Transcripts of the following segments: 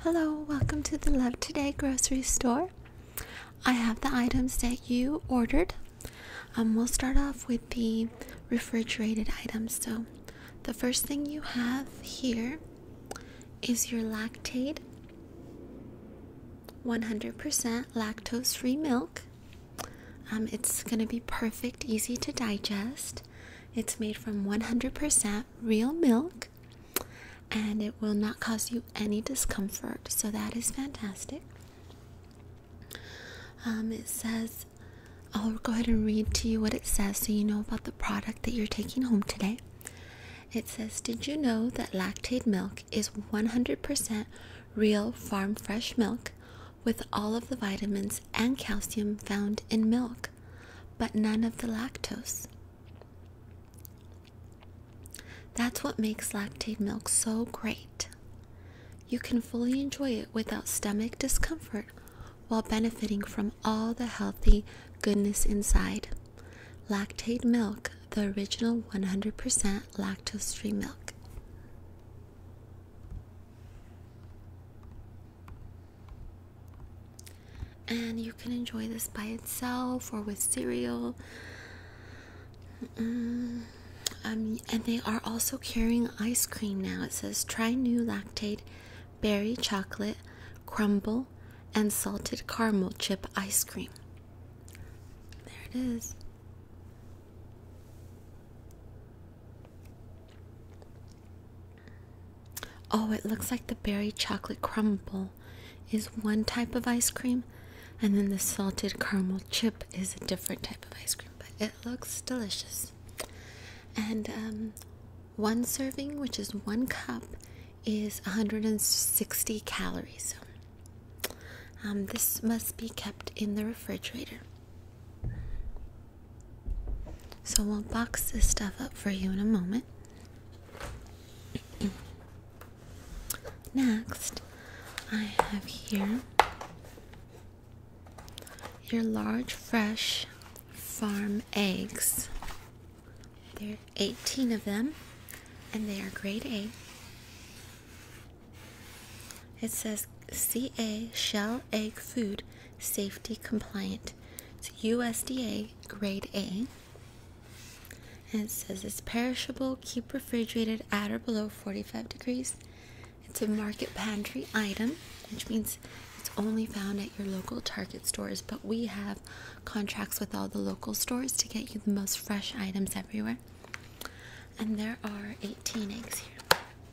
Hello, welcome to the Love Today grocery store. I have the items that you ordered. Um, we'll start off with the refrigerated items. So, the first thing you have here is your lactate 100% lactose free milk. Um, it's going to be perfect, easy to digest. It's made from 100% real milk and it will not cause you any discomfort, so that is fantastic. Um, it says, I'll go ahead and read to you what it says so you know about the product that you're taking home today. It says, Did you know that lactate milk is 100% real farm fresh milk with all of the vitamins and calcium found in milk? but none of the lactose. That's what makes lactaid milk so great. You can fully enjoy it without stomach discomfort while benefiting from all the healthy goodness inside. Lactaid milk, the original 100% lactose free milk. And you can enjoy this by itself or with cereal. um, and they are also carrying ice cream now. It says try new lactate berry chocolate crumble and salted caramel chip ice cream. There it is. Oh, it looks like the berry chocolate crumble is one type of ice cream, and then the salted caramel chip is a different type of ice cream, but it looks delicious. And um, one serving, which is one cup, is 160 calories. Um, this must be kept in the refrigerator. So we'll box this stuff up for you in a moment. Next, I have here your large fresh farm eggs. There are 18 of them, and they are grade A. It says CA shell egg food safety compliant. It's USDA grade A. And it says it's perishable, keep refrigerated at or below 45 degrees. It's a market pantry item, which means it's only found at your local Target stores, but we have contracts with all the local stores to get you the most fresh items everywhere. And there are 18 eggs here.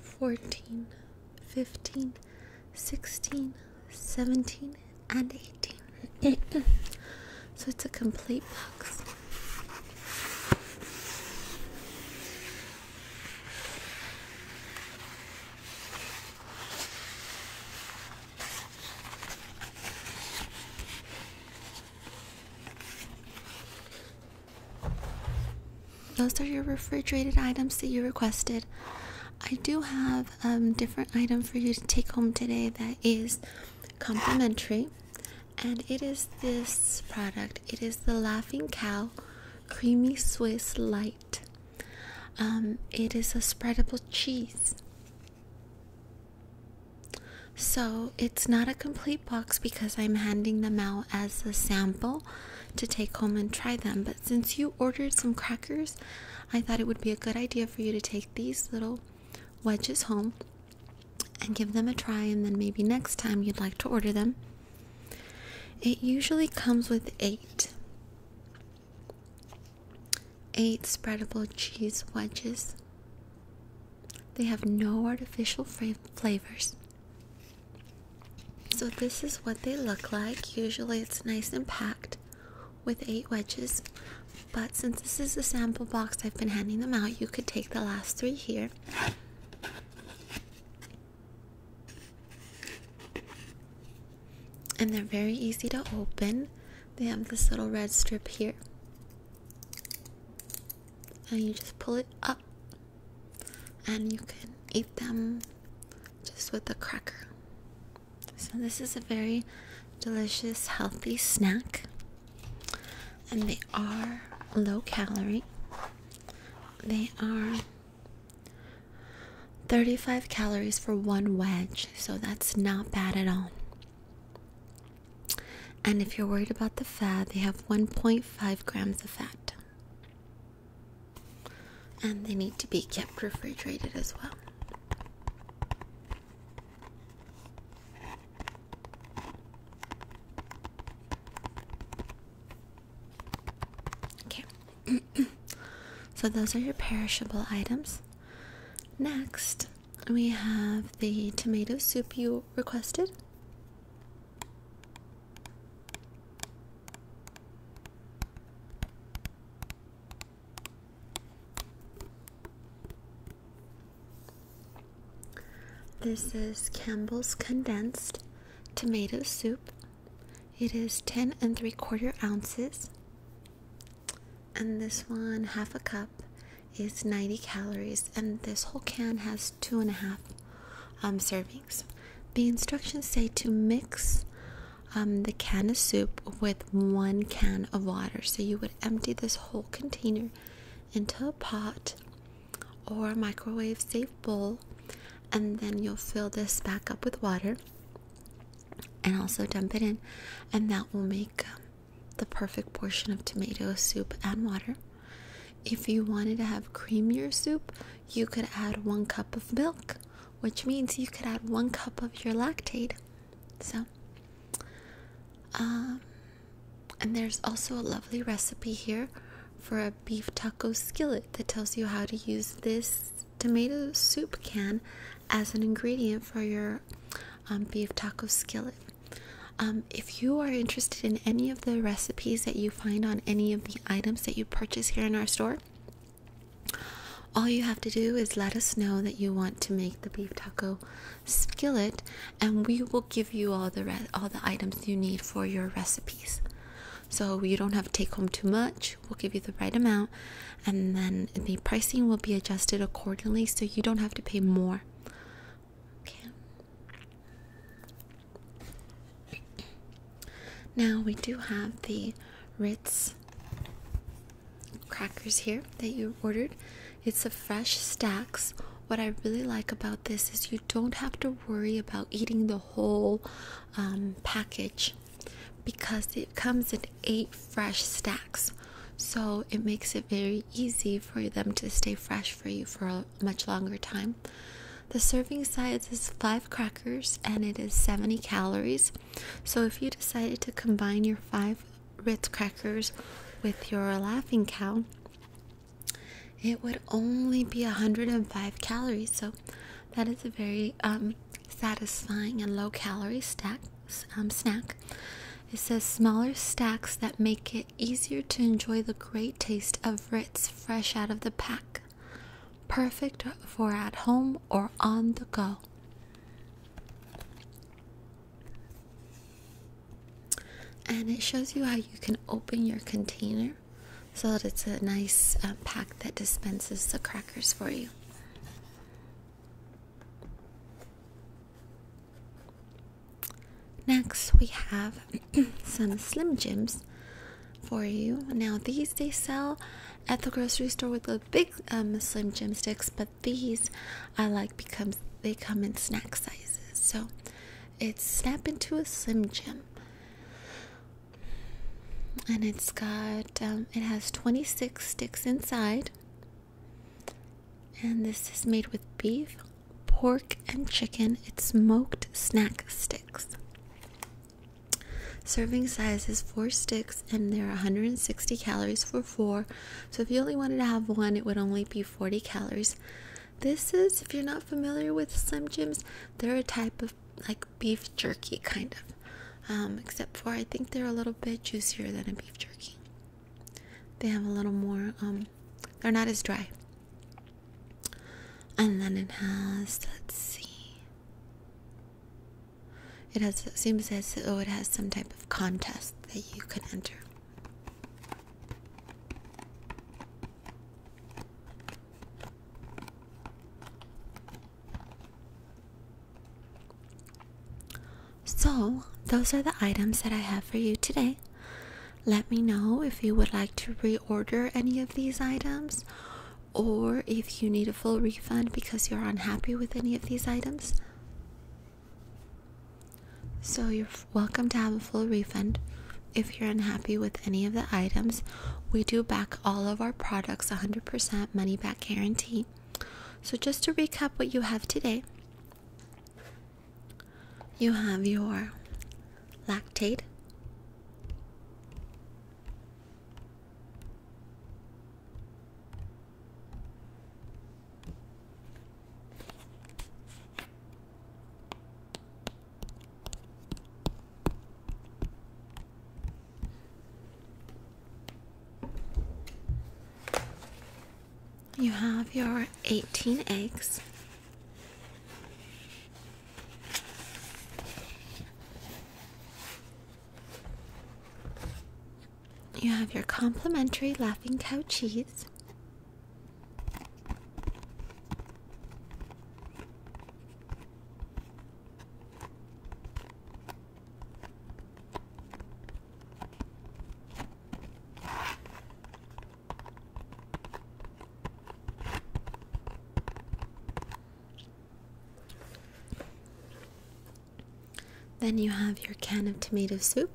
14, 15, 16, 17, and 18. so it's a complete box. Those are your refrigerated items that you requested. I do have a um, different item for you to take home today that is complimentary, and it is this product. It is the Laughing Cow Creamy Swiss Light. Um, it is a spreadable cheese. So it's not a complete box because I'm handing them out as a sample to take home and try them. But since you ordered some crackers, I thought it would be a good idea for you to take these little wedges home and give them a try, and then maybe next time you'd like to order them. It usually comes with eight. Eight spreadable cheese wedges. They have no artificial flavors. So this is what they look like. Usually it's nice and packed with eight wedges. But since this is a sample box, I've been handing them out. You could take the last three here. And they're very easy to open. They have this little red strip here. And you just pull it up and you can eat them just with a cracker. So, this is a very delicious, healthy snack, and they are low calorie. They are 35 calories for one wedge, so that's not bad at all. And if you're worried about the fat, they have 1.5 grams of fat. And they need to be kept refrigerated as well. Okay. so those are your perishable items. Next, we have the tomato soup you requested. This is Campbell's condensed tomato soup. It is 10 and 3 quarter ounces. And this one, half a cup, is 90 calories, and this whole can has two and a half um, servings. The instructions say to mix um, the can of soup with one can of water. So you would empty this whole container into a pot or a microwave safe bowl, and then you'll fill this back up with water and also dump it in, and that will make. Um, the perfect portion of tomato soup and water. If you wanted to have creamier soup, you could add one cup of milk, which means you could add one cup of your lactate. So, um, and there's also a lovely recipe here for a beef taco skillet that tells you how to use this tomato soup can as an ingredient for your um, beef taco skillet. Um, if you are interested in any of the recipes that you find on any of the items that you purchase here in our store, all you have to do is let us know that you want to make the beef taco skillet, and we will give you all the all the items you need for your recipes. So you don't have to take home too much. We'll give you the right amount, and then the pricing will be adjusted accordingly so you don't have to pay more. Now we do have the Ritz crackers here that you ordered. It's a fresh stacks. What I really like about this is you don't have to worry about eating the whole um, package because it comes in eight fresh stacks. So it makes it very easy for them to stay fresh for you for a much longer time. The serving size is five crackers and it is 70 calories. So if you decided to combine your five Ritz crackers with your laughing cow, it would only be 105 calories. So that is a very um, satisfying and low calorie stack. Um, snack. It says smaller stacks that make it easier to enjoy the great taste of Ritz fresh out of the pack. Perfect for at home or on the go. And it shows you how you can open your container so that it's a nice uh, pack that dispenses the crackers for you. Next, we have some Slim Jims for you. Now, these they sell at the grocery store with the big um, Slim Jim sticks, but these I like because they come in snack sizes. So it's snap into a Slim Jim, and it's got um, it has 26 sticks inside. And this is made with beef, pork, and chicken. It's smoked snack sticks. Serving size is four sticks, and there are 160 calories for four. So if you only wanted to have one, it would only be 40 calories. This is, if you're not familiar with Slim Jims, they're a type of like beef jerky kind of um, except for I think they're a little bit juicier than a beef jerky they have a little more um, they're not as dry and then it has let's see it has it seems as though it has some type of contest that you can enter so, those are the items that I have for you today. Let me know if you would like to reorder any of these items or if you need a full refund because you're unhappy with any of these items. So, you're welcome to have a full refund if you're unhappy with any of the items we do back all of our products 100% money back guarantee. So, just to recap what you have today, you have your lactate, you have your 18 eggs. You have your complimentary laughing cow cheese. Then you have your can of tomato soup.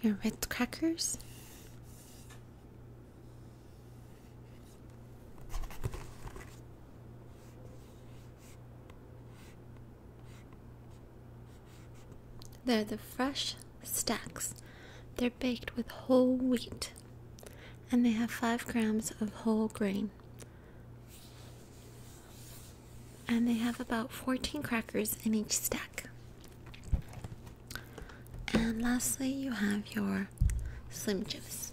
Your red crackers. They're the fresh stacks. They're baked with whole wheat and they have 5 grams of whole grain. And they have about 14 crackers in each stack. And lastly, you have your Slim Jims.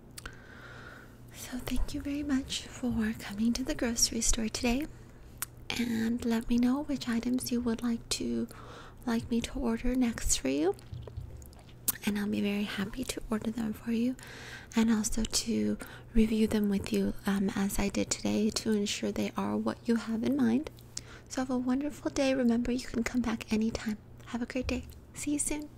So, thank you very much for coming to the grocery store today. And let me know which items you would like to like me to order next for you. And I'll be very happy to order them for you and also to review them with you um, as I did today to ensure they are what you have in mind. So, have a wonderful day. Remember, you can come back anytime. Have a great day. See you soon.